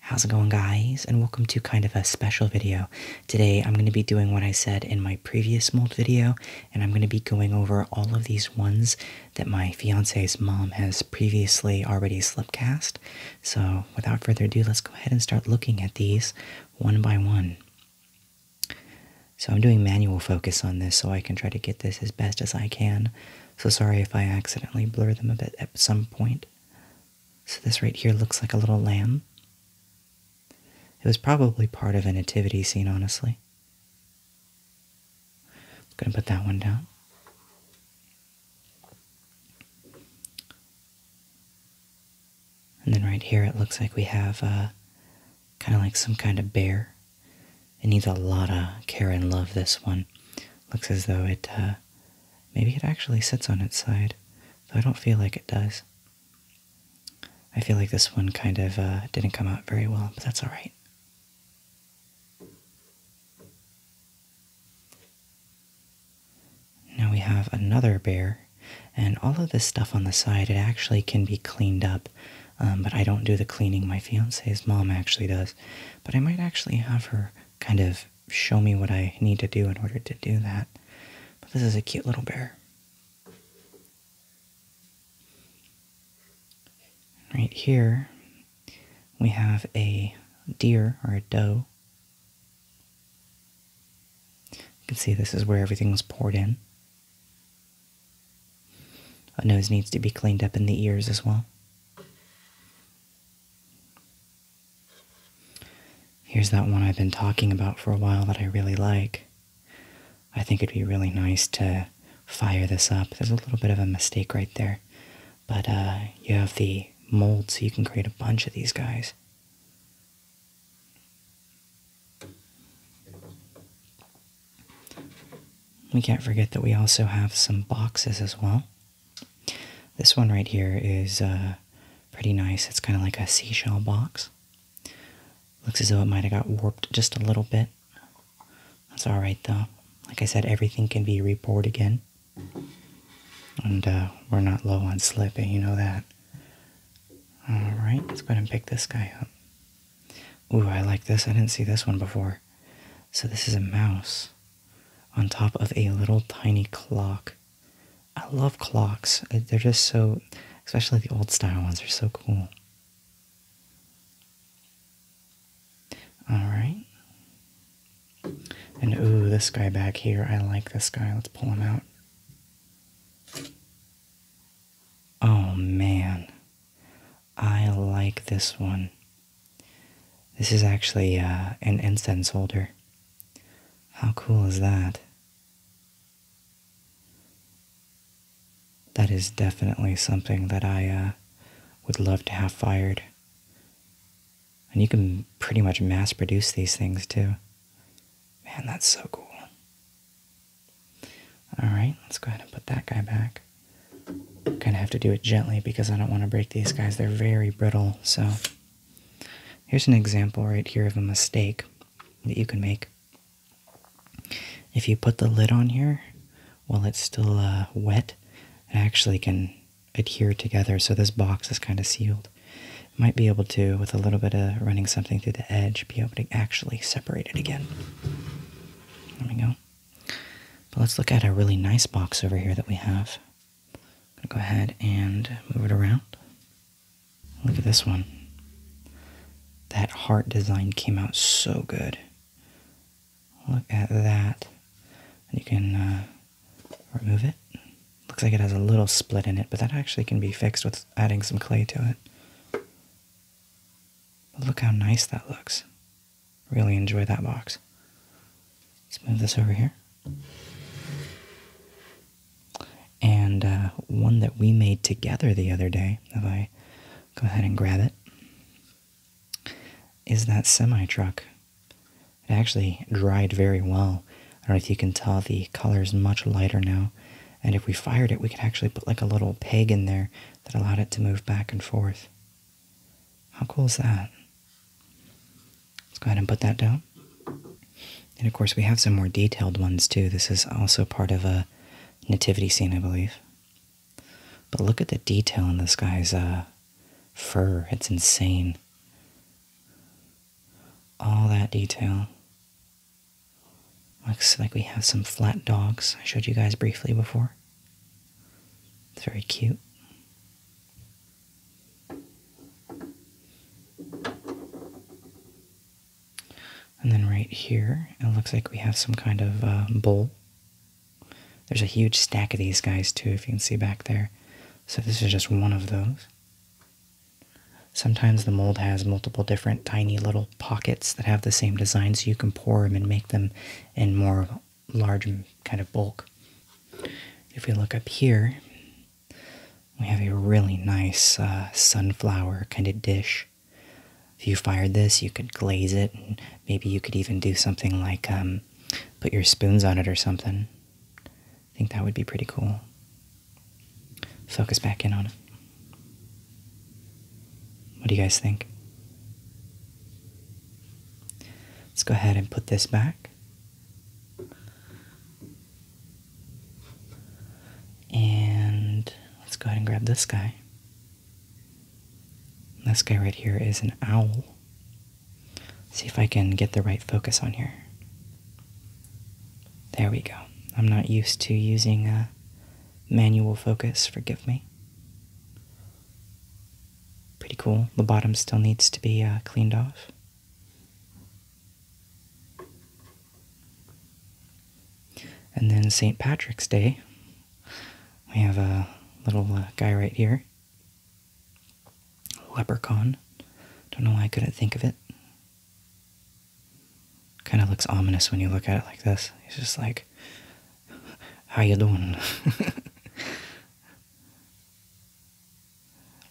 How's it going guys and welcome to kind of a special video. Today I'm going to be doing what I said in my previous mold video and I'm going to be going over all of these ones that my fiance's mom has previously already slipcast. So without further ado let's go ahead and start looking at these one by one. So I'm doing manual focus on this so I can try to get this as best as I can. So sorry if I accidentally blur them a bit at some point. So this right here looks like a little lamb. It was probably part of a nativity scene, honestly. I'm going to put that one down. And then right here it looks like we have uh, kind of like some kind of bear. It needs a lot of care and love, this one. Looks as though it, uh, maybe it actually sits on its side, though I don't feel like it does. I feel like this one kind of uh, didn't come out very well, but that's alright. Now we have another bear, and all of this stuff on the side, it actually can be cleaned up um, but I don't do the cleaning. My fiance's mom actually does. But I might actually have her kind of show me what I need to do in order to do that. But this is a cute little bear. Right here, we have a deer or a doe. You can see this is where everything was poured in. A nose needs to be cleaned up in the ears as well. Here's that one I've been talking about for a while that I really like. I think it'd be really nice to fire this up. There's a little bit of a mistake right there, but uh, you have the mold so you can create a bunch of these guys. We can't forget that we also have some boxes as well. This one right here is uh, pretty nice. It's kind of like a seashell box. Looks as though it might have got warped just a little bit. That's alright though. Like I said, everything can be reboard again. And uh, we're not low on slipping, you know that. Alright, let's go ahead and pick this guy up. Ooh, I like this. I didn't see this one before. So this is a mouse on top of a little tiny clock. I love clocks. Uh, they're just so, especially the old style ones, they are so cool. Alright. And ooh, this guy back here. I like this guy. Let's pull him out. Oh man, I like this one. This is actually uh, an incense holder. How cool is that? That is definitely something that I uh, would love to have fired. And you can pretty much mass produce these things too. Man, that's so cool. Alright, let's go ahead and put that guy back. Kind of have to do it gently because I don't want to break these guys. They're very brittle, so here's an example right here of a mistake that you can make. If you put the lid on here while it's still uh, wet, it actually can adhere together, so this box is kind of sealed might be able to, with a little bit of running something through the edge, be able to actually separate it again. There we go. But let's look at a really nice box over here that we have. going to go ahead and move it around. Look at this one. That heart design came out so good. Look at that. You can uh, remove it. Looks like it has a little split in it, but that actually can be fixed with adding some clay to it look how nice that looks. Really enjoy that box. Let's move this over here. And uh, one that we made together the other day, if I go ahead and grab it, is that semi truck. It actually dried very well I don't know if you can tell the color is much lighter now. And if we fired it, we could actually put like a little peg in there that allowed it to move back and forth. How cool is that? Let's go ahead and put that down. And of course, we have some more detailed ones too. This is also part of a nativity scene, I believe. But look at the detail in this guy's uh, fur. It's insane. All that detail. Looks like we have some flat dogs I showed you guys briefly before. It's very cute. And then right here, it looks like we have some kind of uh, bowl. There's a huge stack of these guys too, if you can see back there. So this is just one of those. Sometimes the mold has multiple different tiny little pockets that have the same design, so you can pour them and make them in more large kind of bulk. If we look up here, we have a really nice uh, sunflower kind of dish. If you fired this, you could glaze it, and maybe you could even do something like um, put your spoons on it or something. I think that would be pretty cool. Focus back in on it. What do you guys think? Let's go ahead and put this back. And let's go ahead and grab this guy. This guy right here is an owl. see if I can get the right focus on here. There we go. I'm not used to using manual focus, forgive me. Pretty cool. The bottom still needs to be uh, cleaned off. And then St. Patrick's Day, we have a little uh, guy right here. Leprechaun. Don't know why I couldn't think of it. Kind of looks ominous when you look at it like this. It's just like, how you doing?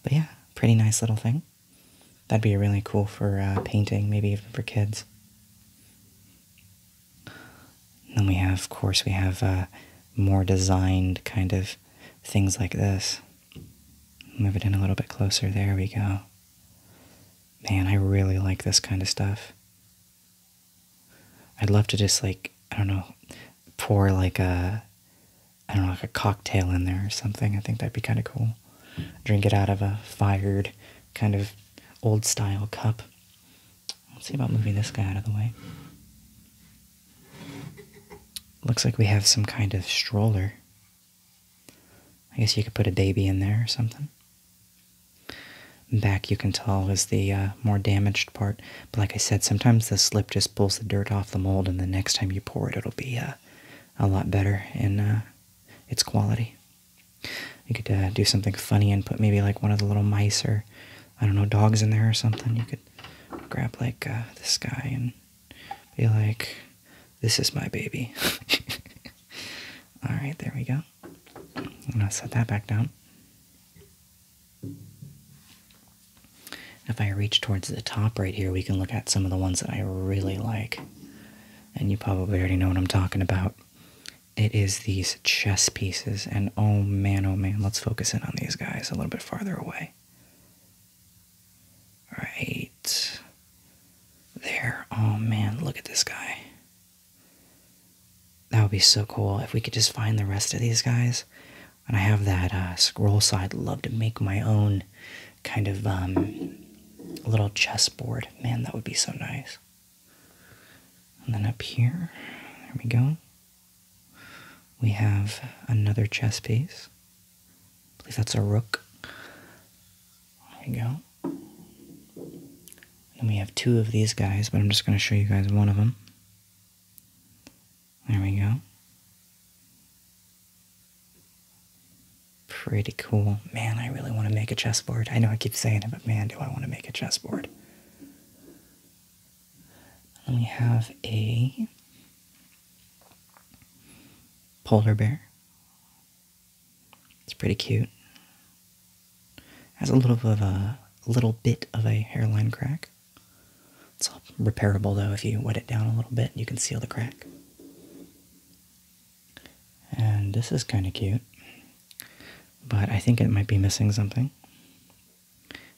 but yeah, pretty nice little thing. That'd be really cool for uh, painting, maybe even for kids. then we have, of course, we have uh, more designed kind of things like this. Move it in a little bit closer. There we go. Man, I really like this kind of stuff. I'd love to just like, I don't know, pour like a, I don't know, like a cocktail in there or something. I think that'd be kind of cool. Drink it out of a fired kind of old style cup. Let's see about moving this guy out of the way. Looks like we have some kind of stroller. I guess you could put a baby in there or something. Back, you can tell, is the uh, more damaged part. But like I said, sometimes the slip just pulls the dirt off the mold, and the next time you pour it, it'll be uh, a lot better in uh, its quality. You could do something funny and put maybe like one of the little mice or, I don't know, dogs in there or something. You could grab like uh, this guy and be like, "This is my baby." All right, there we go. I'm gonna set that back down. If I reach towards the top right here, we can look at some of the ones that I really like. And you probably already know what I'm talking about. It is these chess pieces, and oh man, oh man, let's focus in on these guys a little bit farther away. Right there. Oh man, look at this guy. That would be so cool if we could just find the rest of these guys. And I have that uh, scroll, so I'd love to make my own kind of um, little chessboard. Man, that would be so nice. And then up here, there we go. We have another chess piece. I believe that's a rook. There we go. And we have two of these guys, but I'm just going to show you guys one of them. There we go. Pretty cool. Man, I really want to make a chessboard. I know I keep saying it, but man, do I want to make a chessboard. And we have a polar bear. It's pretty cute. Has a little bit of a, a little bit of a hairline crack. It's all repairable though if you wet it down a little bit, you can seal the crack. And this is kind of cute, but I think it might be missing something.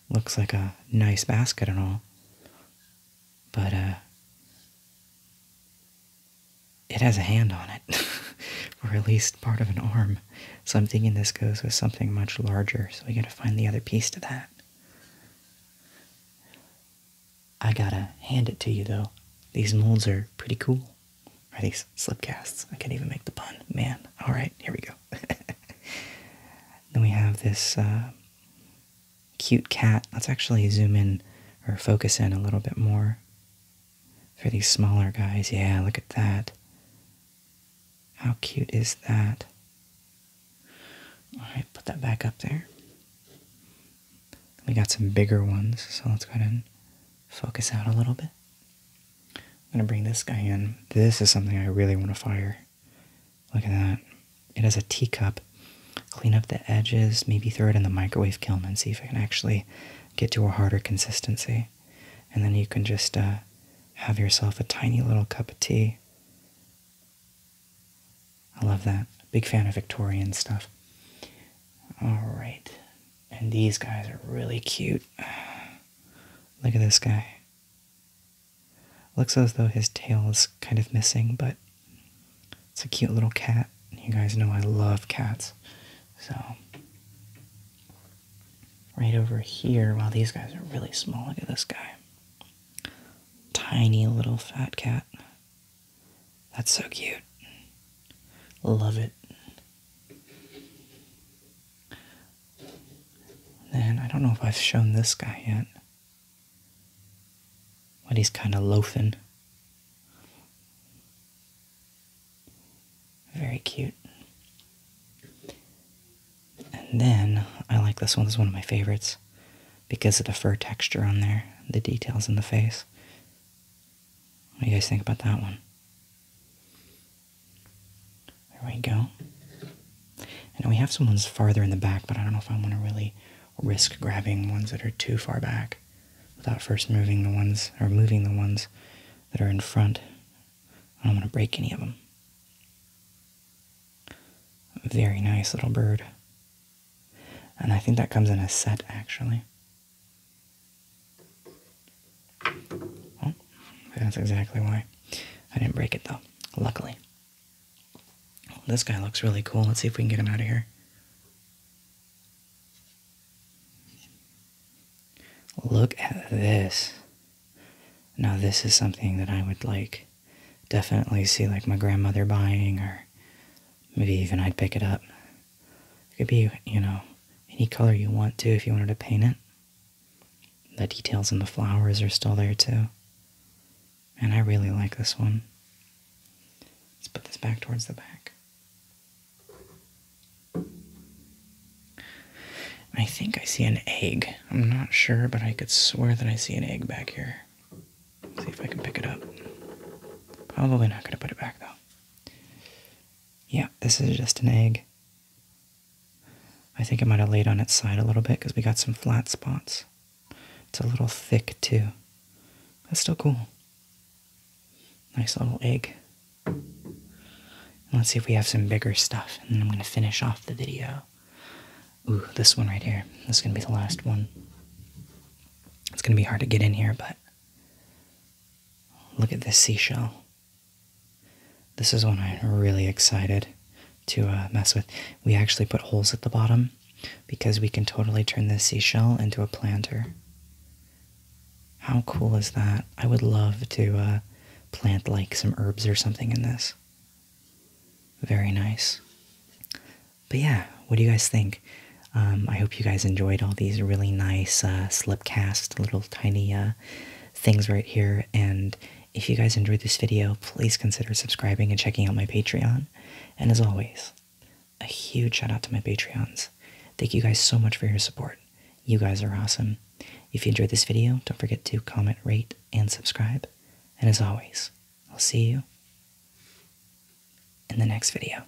Looks like a nice basket and all. But, uh, it has a hand on it, or at least part of an arm. So I'm thinking this goes with something much larger, so we gotta find the other piece to that. I gotta hand it to you though. These molds are pretty cool. Are these slip casts? I can't even make the pun. Man. Alright, here we go. then we have this uh, cute cat. Let's actually zoom in or focus in a little bit more for these smaller guys. Yeah, look at that. How cute is that? All right, put that back up there. We got some bigger ones, so let's go ahead and focus out a little bit. I'm going to bring this guy in. This is something I really want to fire. Look at that. It has a teacup. Clean up the edges, maybe throw it in the microwave kiln and see if I can actually get to a harder consistency. And then you can just uh, have yourself a tiny little cup of tea. I love that. Big fan of Victorian stuff. All right. And these guys are really cute. Look at this guy. Looks as though his tail is kind of missing, but it's a cute little cat. You guys know I love cats. So, right over here, wow, these guys are really small. Look at this guy. Tiny little fat cat. That's so cute. Love it. Then I don't know if I've shown this guy yet, but he's kind of loafing. Very cute. And then I like this one. This is one of my favorites because of the fur texture on there, the details in the face. What do you guys think about that one? There we go. And we have someone's farther in the back, but I don't know if I want to really risk grabbing ones that are too far back without first moving the ones, or moving the ones that are in front. I don't want to break any of them. Very nice little bird. And I think that comes in a set, actually. Well, that's exactly why I didn't break it though, luckily. This guy looks really cool. Let's see if we can get him out of here. Look at this. Now this is something that I would like definitely see like my grandmother buying or maybe even I'd pick it up. It could be, you know, any color you want to if you wanted to paint it. The details and the flowers are still there too. And I really like this one. Let's put this back towards the back. I think I see an egg. I'm not sure, but I could swear that I see an egg back here. see if I can pick it up. Probably not going to put it back though. Yeah, this is just an egg. I think it might have laid on its side a little bit because we got some flat spots. It's a little thick too. That's still cool. Nice little egg. let's see if we have some bigger stuff. And then I'm going to finish off the video. Ooh, this one right here. This is going to be the last one. It's going to be hard to get in here, but Look at this seashell. This is one I'm really excited to uh, mess with. We actually put holes at the bottom because we can totally turn this seashell into a planter. How cool is that? I would love to uh, plant like some herbs or something in this. Very nice. But yeah, what do you guys think? Um, I hope you guys enjoyed all these really nice uh, slipcast little tiny uh, things right here. And if you guys enjoyed this video, please consider subscribing and checking out my Patreon. And as always, a huge shout out to my Patreons. Thank you guys so much for your support. You guys are awesome. If you enjoyed this video, don't forget to comment, rate, and subscribe. And as always, I'll see you in the next video.